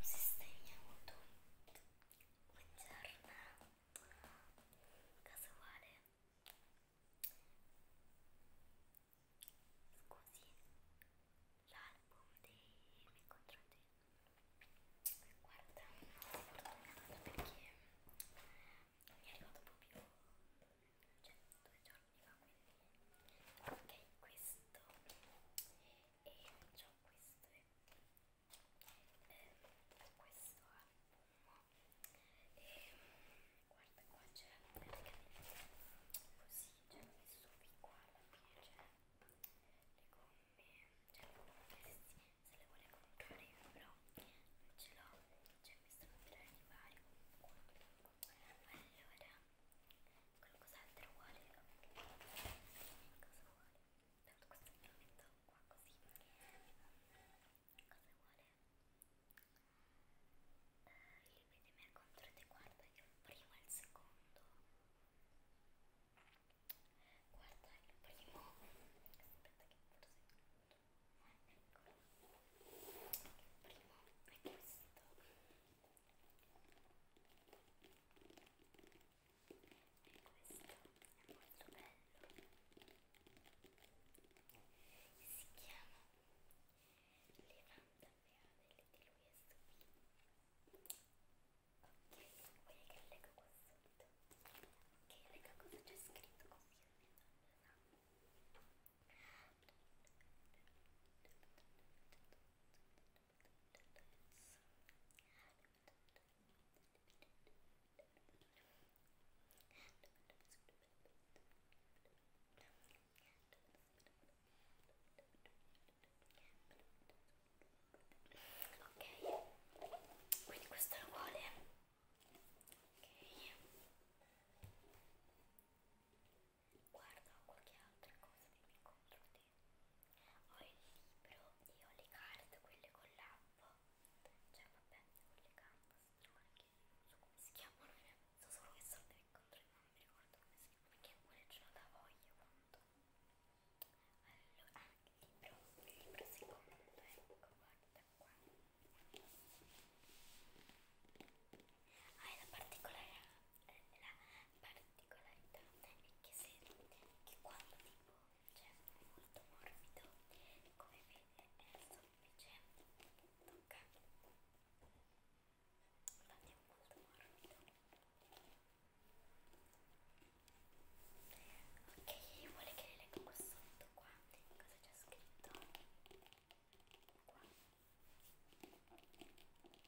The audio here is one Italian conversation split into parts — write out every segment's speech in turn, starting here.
sistemiamo tutto buongiorno cosa vuole? scusi l'album dei miei contratti guarda non ho fortunata perché non mi è arrivato proprio cioè due giorni fa quindi ok questo e ciò queste ehm, questo album e guarda qua c'è perché così c'è messo qui qua alla fine c'è le gomme cioè le gomme se le vuole comprare io però non ce l'ho c'è messo tre di vari allora qualcos'altro vuole cosa vuole tanto questo me lo metto qua così cosa vuole eh, il vede me contro te guarda il primo e il secondo guarda il primo aspetta che forse eccolo il primo è questo e questo è molto bello si chiama Levanta Peadele di lui e Subi ok, vuoi che leggo qua sotto? ok, leggo cosa c'è scritto così almeno allora ok quindi questo lo vuole ok guarda qualche altra cosa di incontro ho il libro e ho le carte, quelle con l'app, cioè vabbè, con le cantastrone che non so come si chiamano, eh. so solo che sono del controllo, non mi ricordo come si chiamano, perché pure ce l'ho da voglia quanto. Allora, ah, il libro, il libro secondo, ecco, guarda qua. Ah, è la particolare la particolarità è che, se, che quando tipo cioè, è molto morbido come vede è semplice tocca infatti è molto morbido ok vuole che le leggo qua sotto qua cosa c'è scritto qua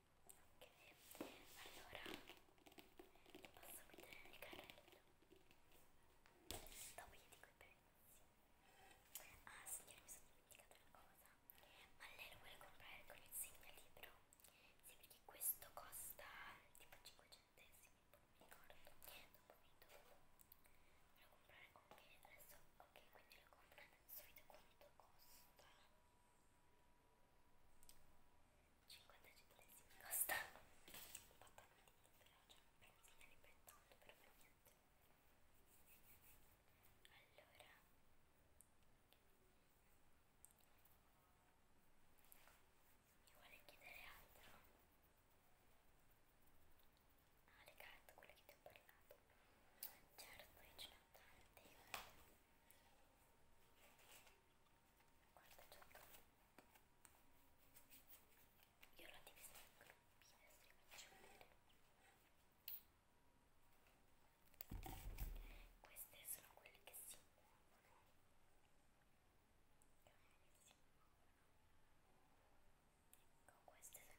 Ok, allora ti posso mettere nel carrello. Dopo gli dico i prezzi. Ah signore, mi sono dimenticata una cosa. Ma lei lo vuole comprare con il segnalibro? Sì, perché questo costa tipo 5 centesimi, non mi ricordo. Dopo mi dopo. Voglio comprare, ok, adesso, ok, quindi lo compro nel solito quanto costa. 5 centesimi 50 centesimi costa un pattamento però c'è un benzina di pettando per me niente allora mi vuole chiedere altro ah le carte quelle che ti ho parlato certo io ce ne ho tante eh. Guarda Giacomo, io l'ho divisa in gruppi, adesso vi faccio vedere. Queste sono quelle che si muovono. Si muovono. Ecco, queste sono stupende, qua c'è scritto.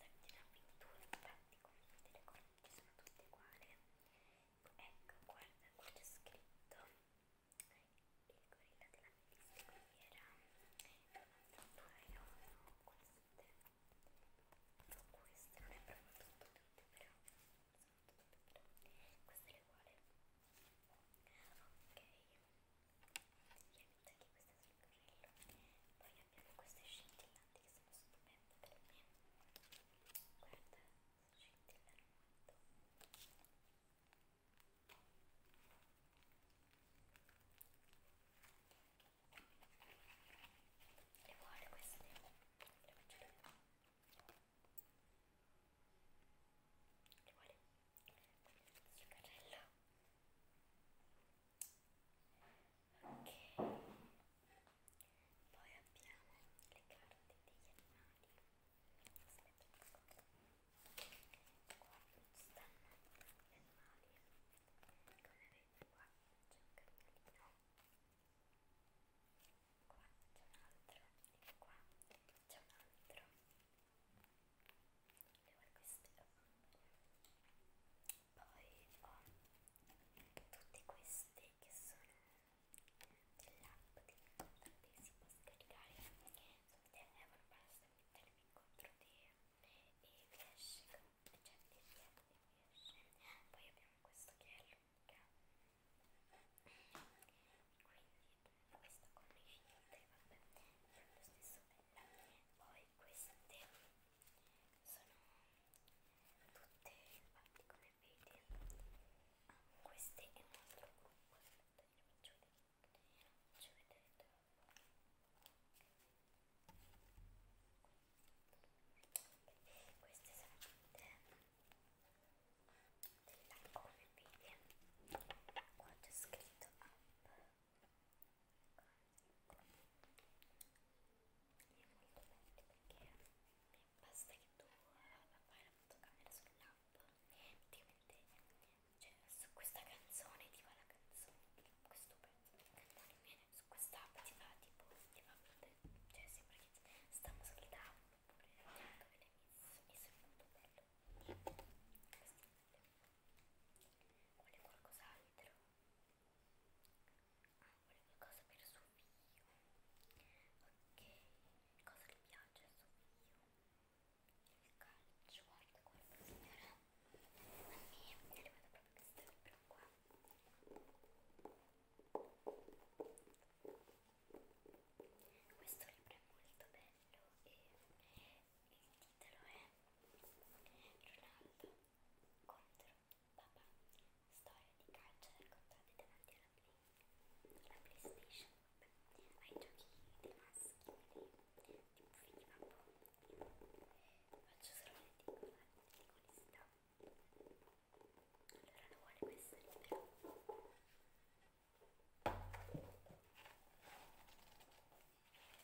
la pittura infatti come vedete le correnti sono tutte uguali ecco guarda qua c'è scritto il gorilla della melissa quindi era un queste no, questo non è proprio tutto tutto però sono tutte però questo è uguale ok c'è anche questa sul carrello. Poi abbiamo queste scintillanti che sono stupende per me. Guarda, scintillano molto. Le vuole queste? Le faccio vedere. Le vuole? Sul carrello ok poi abbiamo le carte degli animali aspetta un secondo qua stanno gli animali come vedete qua c'è un camminino qua c'è un altro e qua c'è un altro per queste poi ho tutti questi che sono dell'app di incontro che si può scaricare sul telefono basta mettermi incontro di e vi esce cioè di piede mi esce poi abbiamo questo che è lunga quindi questo con le finite vabbè è lo stesso bella poi queste sono tutte infatti come vedi ah, questo è un altro gruppo aspetta glielo faccio vedere glielo faccio vedere troppo queste sono tutte della come vedi qua c'è scritto up è molto bello perché basta che tu fai eh, la fotocamera sull'app praticamente cioè, su questa canzone ti va la canzone questo pezzo di cantare bene su quest'app ti va tipo ti va cioè sembra che stanno ascoltando oppure tanto che l'hai messo messo è molto bello questo vuole qualcos'altro Ah, vuole qualcosa per suo figlio. Ok, cosa le piace a suo figlio? Il calcio, guarda guarda signora. A me è arrivato proprio questo libro qua. Questo libro è molto bello e il titolo è Ronaldo contro papà, storia di calcio raccontata davanti alla, play, alla playstation, ai giochi dei maschi, quindi tipo finiva un po', faccio solo le ticole, ticolista, allora non vuole questo libro. Allora,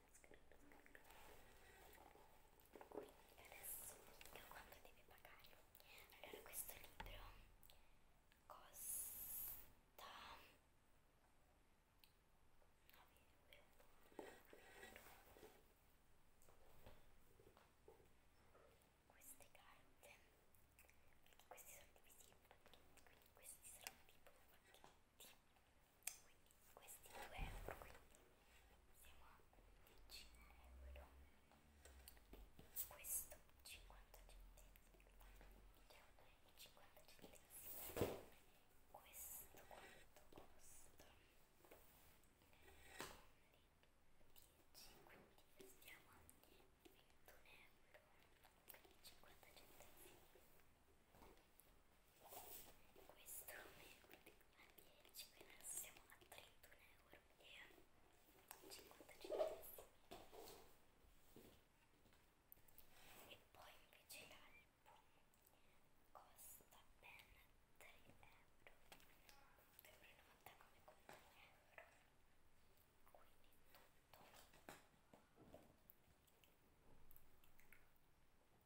quindi adesso dica quanto deve pagare allora questo libro costa 9 euro queste carte perché questi sono divisi in pacchetti quindi questi saranno tipo pacchetti quindi questi 2 euro qui siamo a 10 euro questo 50 centesimi 50 centesimi questo quanto costa quindi 10 quindi stiamo a 21 euro 50 centesimi questo mercoledì a 10 quindi adesso siamo a 31 euro e 50 centesimi e poi invece l'album costa ben 3 euro 2,99 come con 3 euro quindi tutto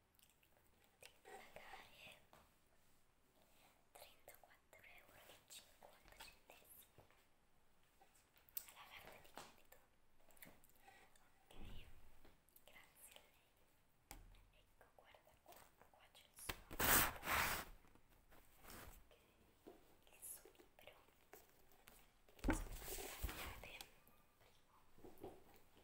pagare 34,50 euro alla carta di credito ok grazie a lei ecco guarda qua qua c'è il suo ok il suo libro insomma sarebbe primo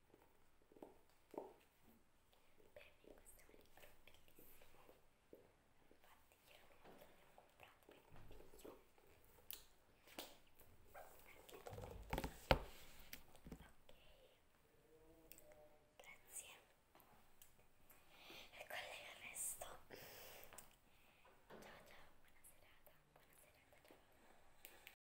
Per me questo è un libro bellissimo, infatti chiaramente l'ho comprato per un figlio. Ok, grazie. E qual è il resto? Ciao ciao, buona serata, buona serata ciao.